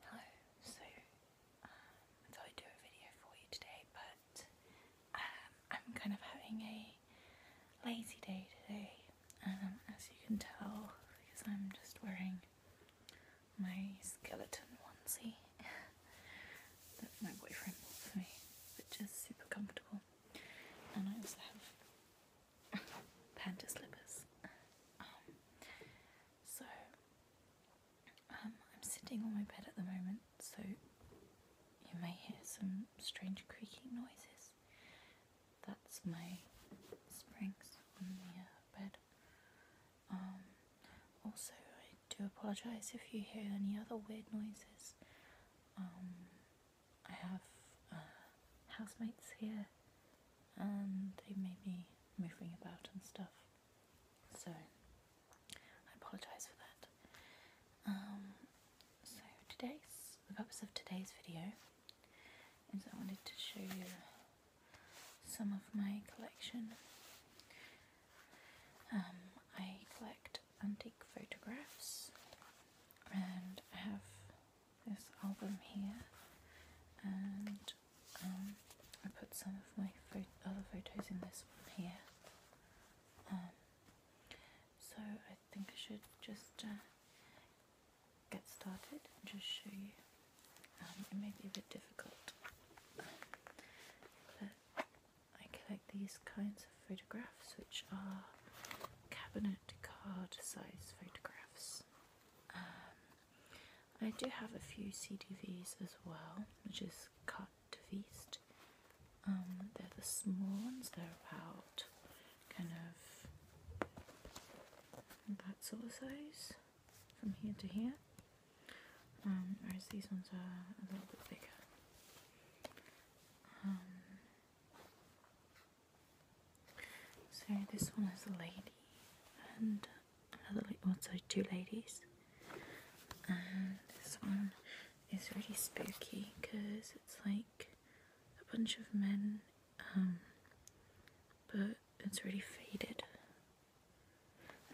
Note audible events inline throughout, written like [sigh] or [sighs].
Hello, so um, I thought I'd do a video for you today, but um, I'm kind of having a lazy day today, um, as you can tell, because I'm just wearing my skeleton onesie [laughs] that my boyfriend bought for me, which is super comfortable, and I also have [laughs] panda slippers. Um, so um, I'm sitting on my bed at the moment, so you may hear some strange creaking noises. That's my springs on the uh, bed. Um, also, I do apologise if you hear any other weird noises. Um, I have uh, housemates here and they may be moving about and stuff. So I apologise for that. Um, so today's the purpose of today's video is I wanted to show you some of my collection. Um, I collect antique photographs and I have this album here and um, I put some of my other photos in this one here um, so I think I should just uh, get started just show you um, it may be a bit difficult but I collect these kinds of photographs which are cabinet card size photographs um, I do have a few CDVs as well, which is cut to feast. Um, they're the small ones, they're about kind of that sort of size from here to here. Um, whereas these ones are a little bit bigger. So this one is a lady and another la- oh, two ladies. And this one is really spooky because it's like a bunch of men, um, but it's really faded.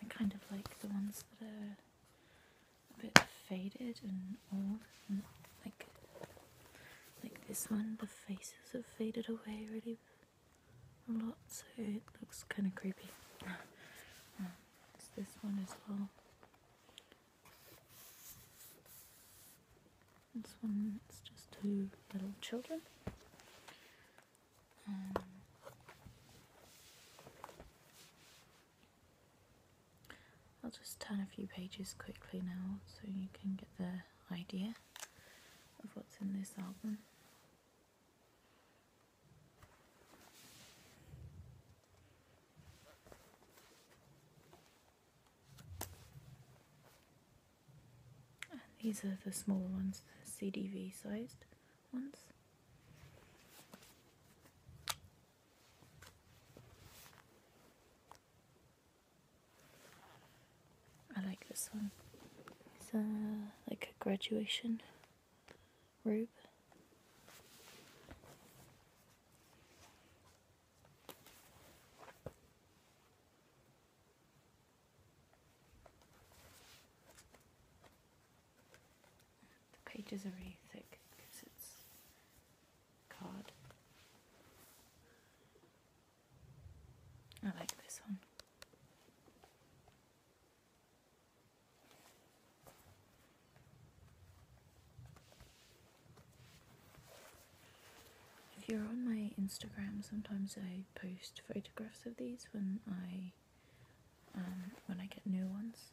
I kind of like the ones that are a bit faded and old like like this one, the faces have faded away really a lot, so it looks kind of creepy. [sighs] this one as well. This one it's just two little children. Um, I'll just turn a few pages quickly now so you can get the idea of what's in this album. these are the small ones, the CDV sized ones. I like this one. It's uh, like a graduation robe. The pages are really thick because it's I like this one. If you're on my Instagram, sometimes I post photographs of these when I um, when I get new ones.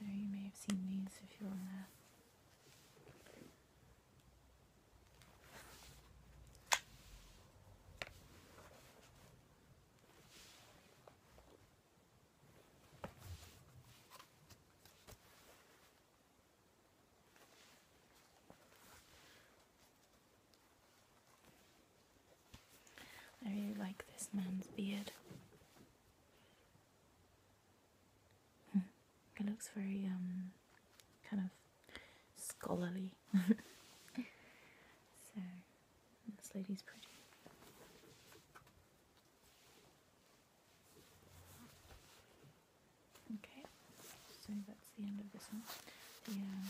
So you may have seen these if you're on there. I really like this man's beard. [laughs] it looks very um kind of scholarly. [laughs] so this lady's pretty. Okay, so that's the end of this one. The uh,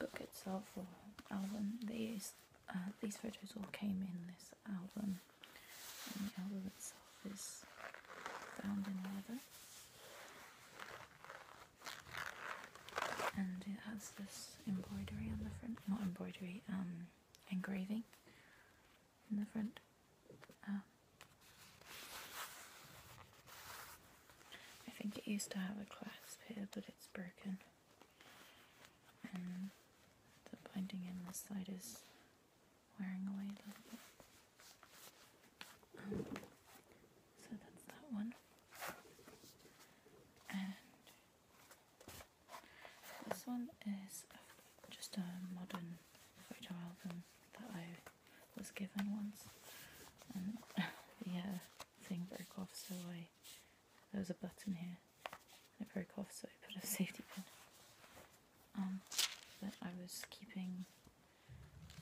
book itself or album, there is uh, these photos all came in this album, and the album itself is bound in leather, and it has this embroidery on the front. Not embroidery, um, engraving in the front. Uh, I think it used to have a clasp here, but it's broken the binding in this side is wearing away a little bit. so that's that one. And this one is just a modern photo album that I was given once. And the [laughs] thing broke off, so I there was a button here, and it broke off, so I put a safety pin. Um, but I was keeping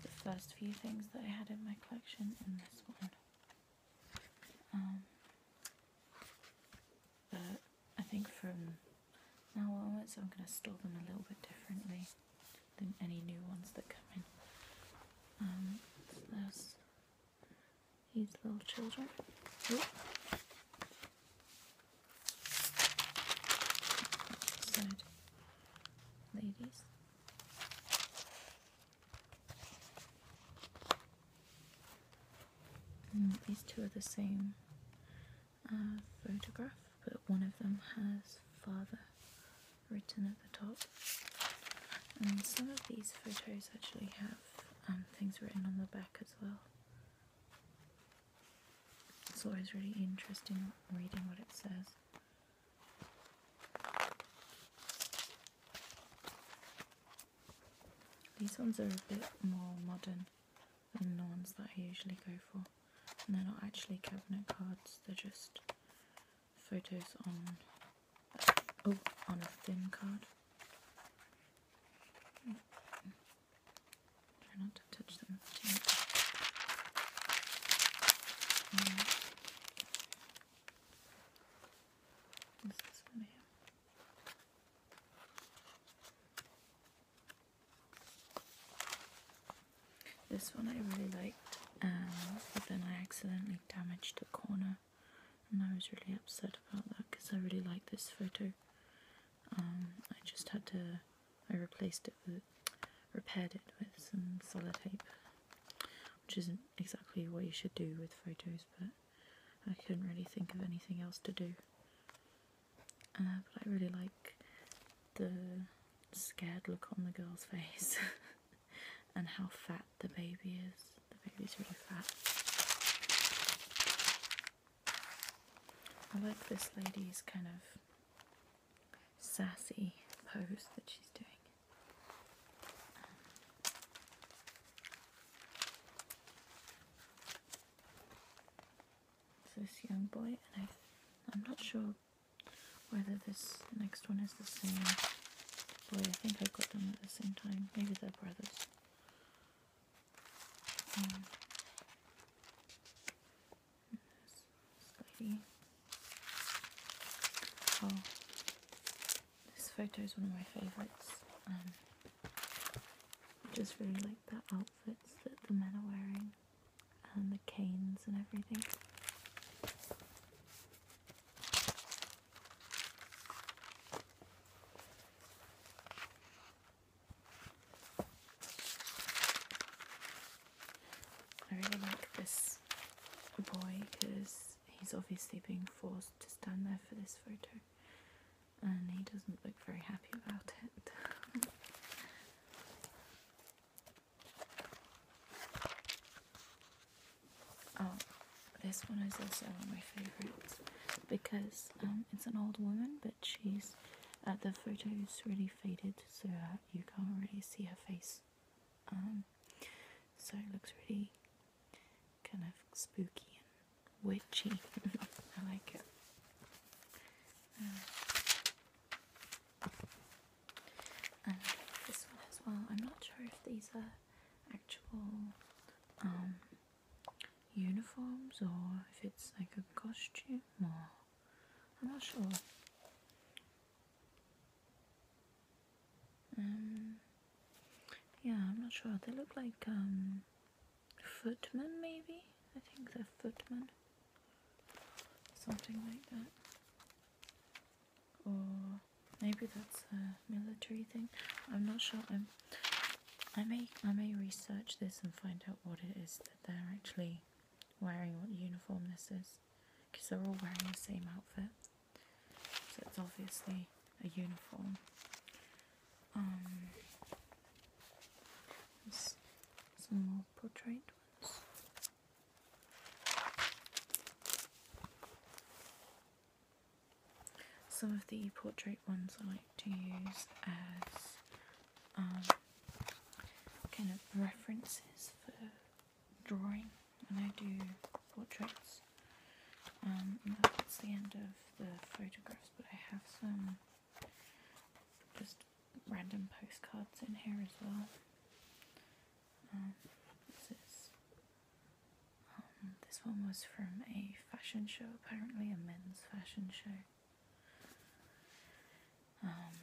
the first few things that I had in my collection in this one. Um, but I think from now onwards I'm going to store them a little bit differently than any new ones that come in. Um, there's these little children. Ladies. Mm, these two are the same uh, photograph, but one of them has father written at the top. And some of these photos actually have um, things written on the back as well. It's always really interesting reading what it says. These ones are a bit more modern than the ones that I usually go for. And they're not actually cabinet cards, they're just photos on Oh, on a thin card. Try not to touch them too much. Um, this is the This one I really liked, um, but then I accidentally damaged the corner and I was really upset about that because I really like this photo. Um, I just had to, I replaced it with, repaired it with some solid tape, which isn't exactly what you should do with photos, but I couldn't really think of anything else to do. Uh, but I really like the scared look on the girl's [laughs] face. [laughs] and how fat the baby is. The baby's really fat. I like this lady's kind of sassy pose that she's doing. this young boy, and I, I'm not sure whether this next one is the same. Boy, I think I got them at the same time. Maybe they're brothers. Um, this Oh, this photo is one of my favourites. Um, I just really like the outfits that the men are wearing and the canes and everything. I really like this boy because he's obviously being forced to stand there for this photo and he doesn't look very happy about it. [laughs] Oh, this one is also one of my favorites because um, it's an old woman, but she's uh, the photo is really faded, so uh, you can't really see her face. Um, so it looks really kind of spooky and witchy. [laughs] I like it. Um, and this one as well. I'm not sure if these are actual um, uniforms or if it's like a costume I'm not sure. Um, yeah, I'm not sure. They look like um, footmen, maybe. I think they're footmen, something like that or maybe that's a military thing. I'm not sure. I'm, I may I may research this and find out what it is that they're actually wearing, what uniform this is, because they're all wearing the same outfit, so it's obviously a uniform. Um, some more portrait ones. Some of the portrait ones I like to use as um, kind of references for drawing when I do portraits. Um, that's the end of the photographs, but I have some just random postcards in here as well this? Um, this one was from a fashion show, apparently a men's fashion show. Um,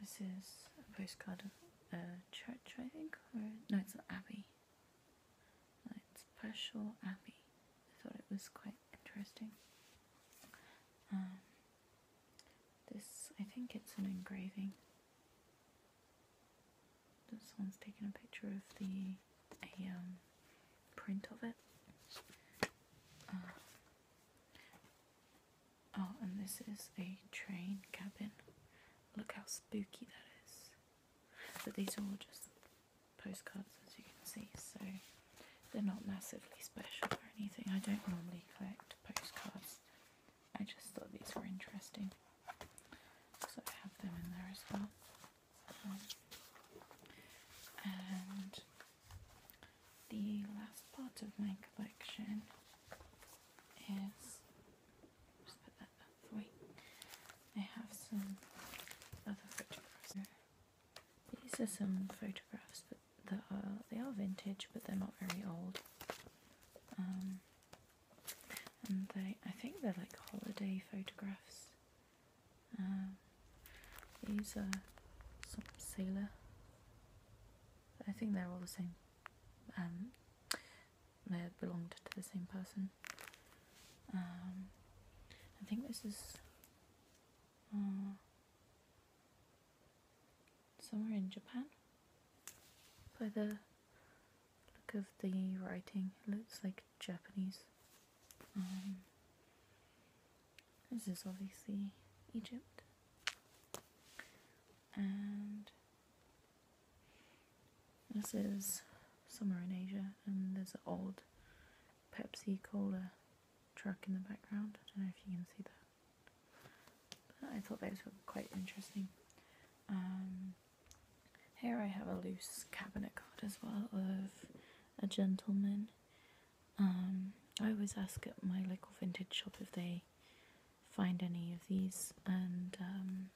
this is a postcard of a church, I think, or no, it's an abbey. No, it's Pershore Abbey. I thought it was quite interesting. Um, this, I think it's an engraving. This one's taken a picture of the um, print of it. Uh, oh, and this is a train cabin. Look how spooky that is. But these are all just postcards, as you can see, so they're not massively special or anything. I don't normally collect postcards. I just thought these were interesting. So I have them in there as well. and the last part of my collection is just put that out I have some other photographs. These are some photographs that that are uh, they are vintage, but they're not very old. Um, and they, I think they're like holiday photographs. Um, these are some sailor. I think they're all the same. Um, they belonged to the same person. I think this is. Uh, somewhere in Japan. By the look of the writing, it looks like Japanese. Um, this is obviously Egypt. And this is somewhere in Asia, and there's an old Pepsi Cola truck in the background. I don't know if you can see that. I thought those were quite interesting. Um, here I have a loose cabinet card as well of a gentleman. Um, I always ask at my local vintage shop if they find any of these, and um,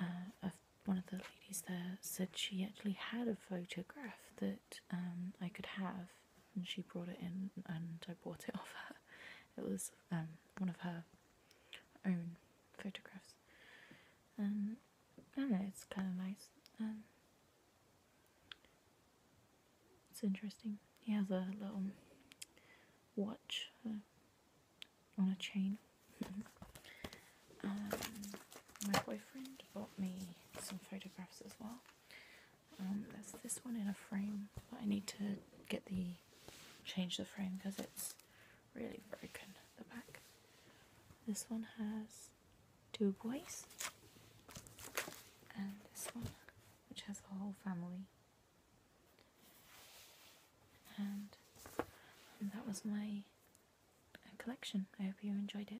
uh, one of the ladies there said she actually had a photograph that um, I could have, and she brought it in, and I bought it [laughs] off her. It was um, one of her own photographs, and um, I don't know, it's kind of nice. it's interesting. He has a little watch uh, on a chain. [laughs] my boyfriend bought me some photographs as well. Um, there's this one in a frame, but I need to get the change the frame because it's really broken the back. This one has two boys, and this one, which has a whole family. and um, that was my uh, collection. I hope you enjoyed it.